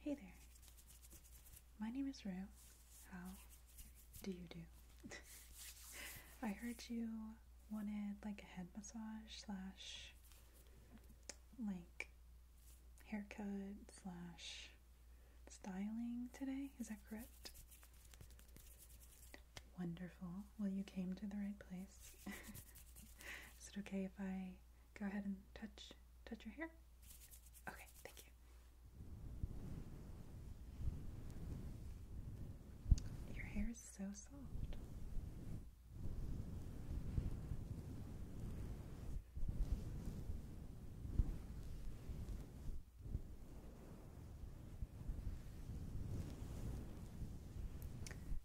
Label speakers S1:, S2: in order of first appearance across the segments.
S1: Hey there. My name is Rue. How do you do? I heard you wanted like a head massage slash like haircut slash styling today. Is that correct? Wonderful. Well, you came to the right place. Is it okay if I go ahead and touch touch your hair. Okay, thank you. Your hair is so soft.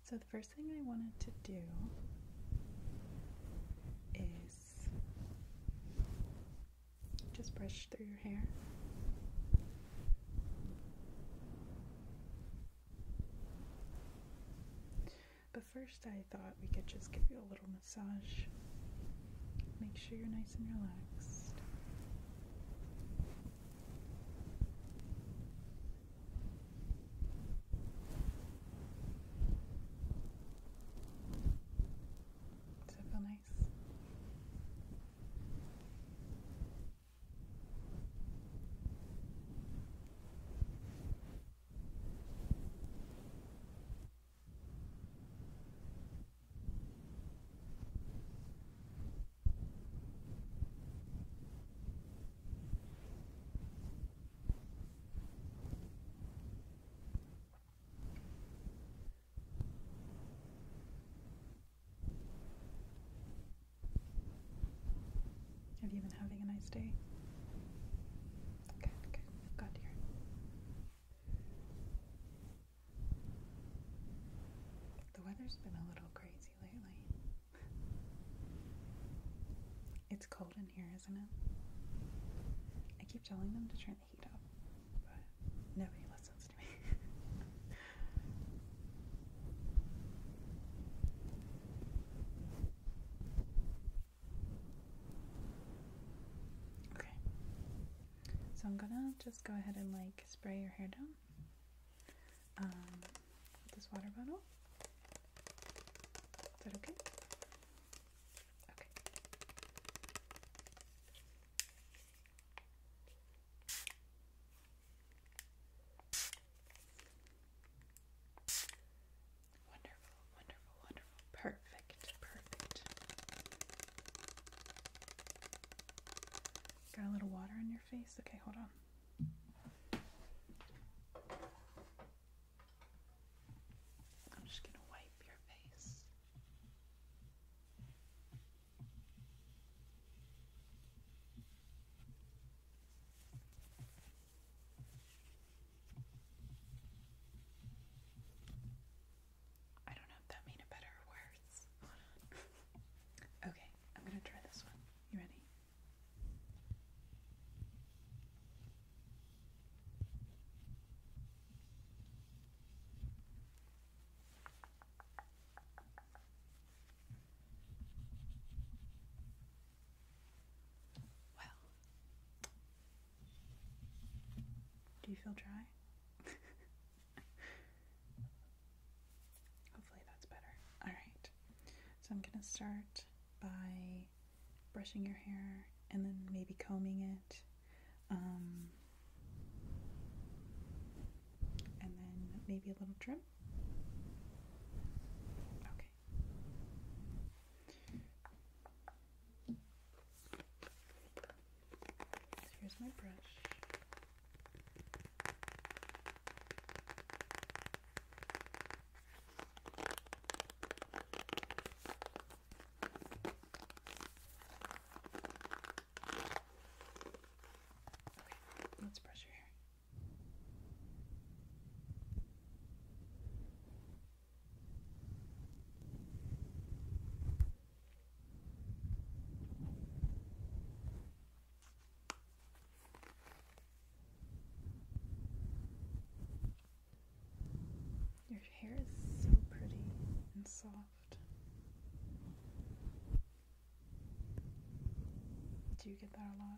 S1: So the first thing I wanted to do is just brush through your hair. But first, I thought we could just give you a little massage. Make sure you're nice and relaxed. Does it feel nice? Have you been having a nice day? Good, good. got here. The weather's been a little crazy lately. It's cold in here, isn't it? I keep telling them to turn the heat up, but nobody listens to me. okay. So I'm gonna just go ahead and like spray your hair down um, with this water bottle. Is that okay? Okay. Wonderful, wonderful, wonderful. Perfect, perfect. Got a little water on your face? Okay, hold on. I'm just going to wipe your face. I don't know if that made it better or worse. okay, I'm gonna try this one. You ready? Well, do you feel dry? Hopefully that's better. All right. So I'm going to start by brushing your hair and then maybe combing it. Um, and then maybe a little trim. Okay. So here's my brush. Okay, let's brush your hair. Your hair is so pretty and soft. Do you get that a lot?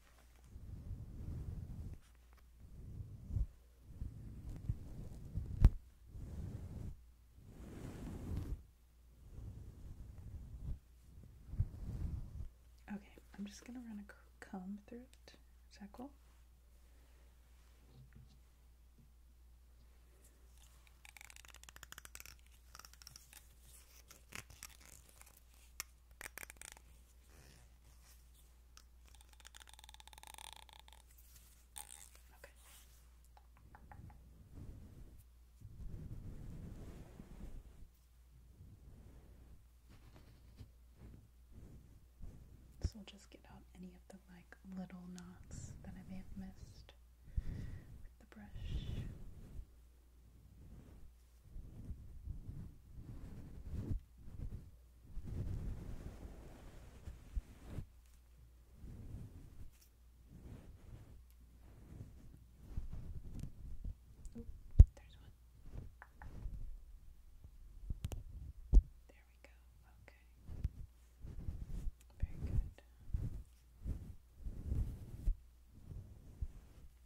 S1: Okay, I'm just gonna run a comb through it. Is that cool? Okay. This will just get out any of the like little knots that I may have missed with the brush. Oop, there's one. There we go. Okay. Very good.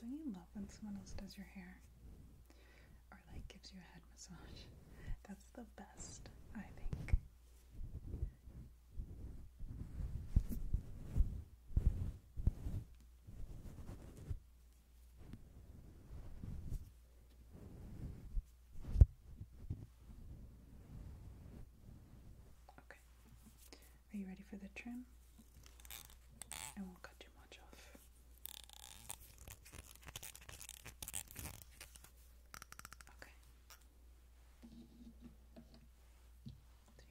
S1: Don't you love when someone else does your hair? Or like gives you a head massage? That's the best, I think. Okay. Are you ready for the trim? I won't cut too much off. Okay.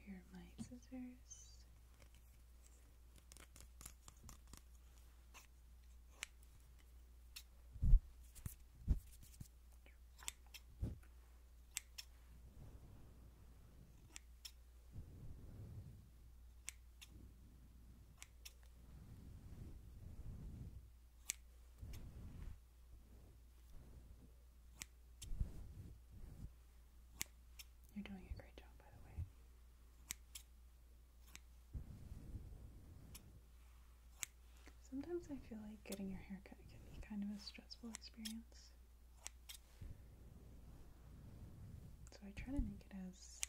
S1: here are my scissors. You're doing a great job, by the way. Sometimes I feel like getting your hair cut can be kind of a stressful experience. So I try to make it as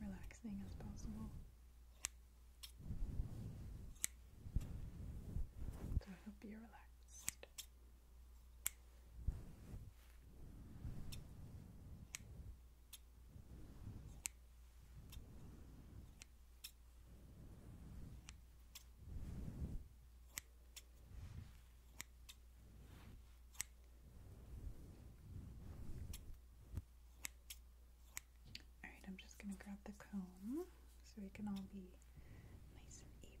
S1: relaxing as possible. So I hope you're relaxed. All right, I'm just going to grab the comb so we can all be nice and even.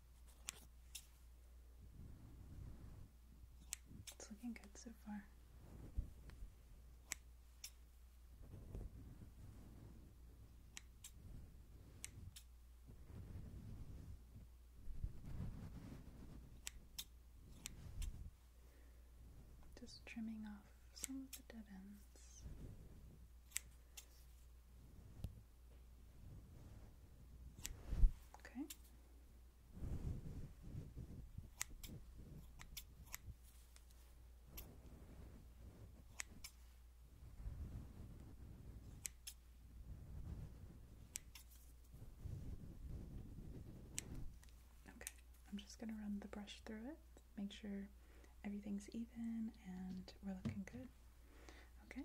S1: It's looking good so far. Just trimming off some of the dead ends. Okay. Okay, I'm just going to run the brush through it, make sure everything's even and we're looking good. Okay,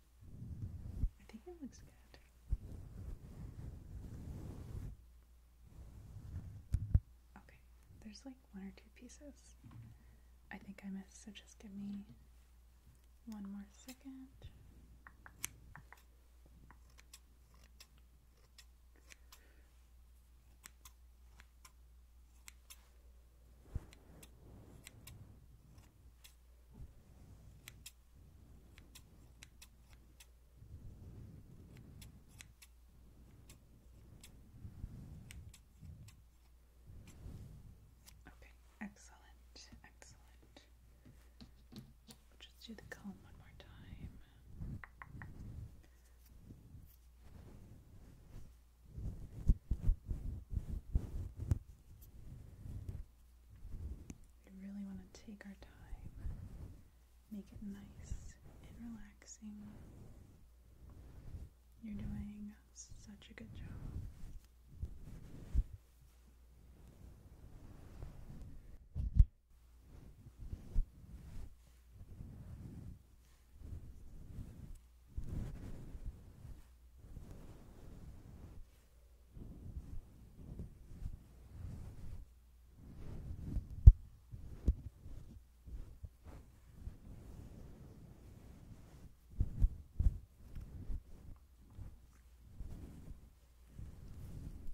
S1: I think it looks good. Okay, there's like one or two pieces. I think I missed, so just give me one more second. Okay, excellent, excellent. just do the comb one more time. We really want to take our time, make it nice and relaxing. You're doing such a good job.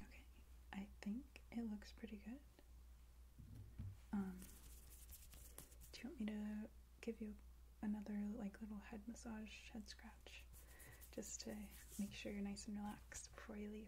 S1: Okay, I think it looks pretty good. Um, do you want me to give you another like little head massage, head scratch? just to make sure you're nice and relaxed before you leave.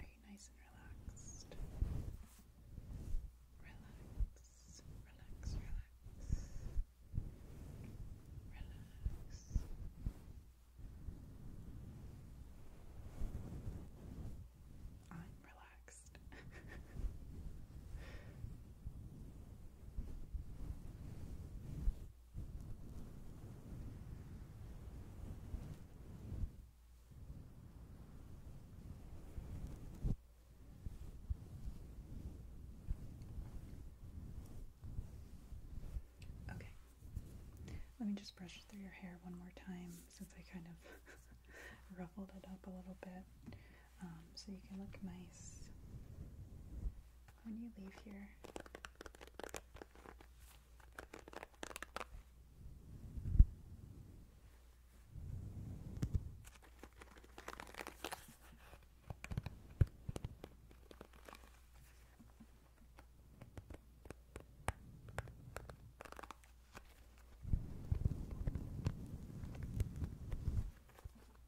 S1: Are you nice and relaxed? Relax, relax, relax. Relax. I'm relaxed. Okay. Let me just brush through your hair one more time since I kind of ruffled it up a little bit um, so you can look nice when you leave here.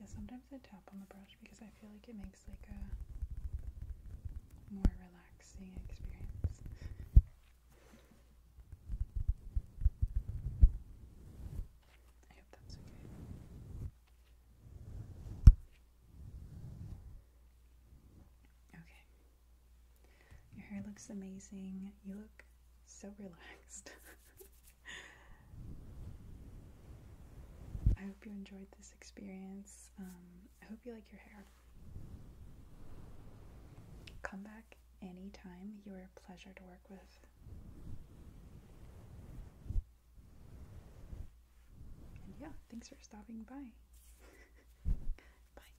S1: Yeah, sometimes I tap on the brush because I feel like it makes like a more relaxing experience. I that's okay. Okay. Your hair looks amazing. You look so relaxed. I hope you enjoyed this experience. Um, I hope you like your hair. Come back anytime. You are a pleasure to work with. And yeah, thanks for stopping by. Bye.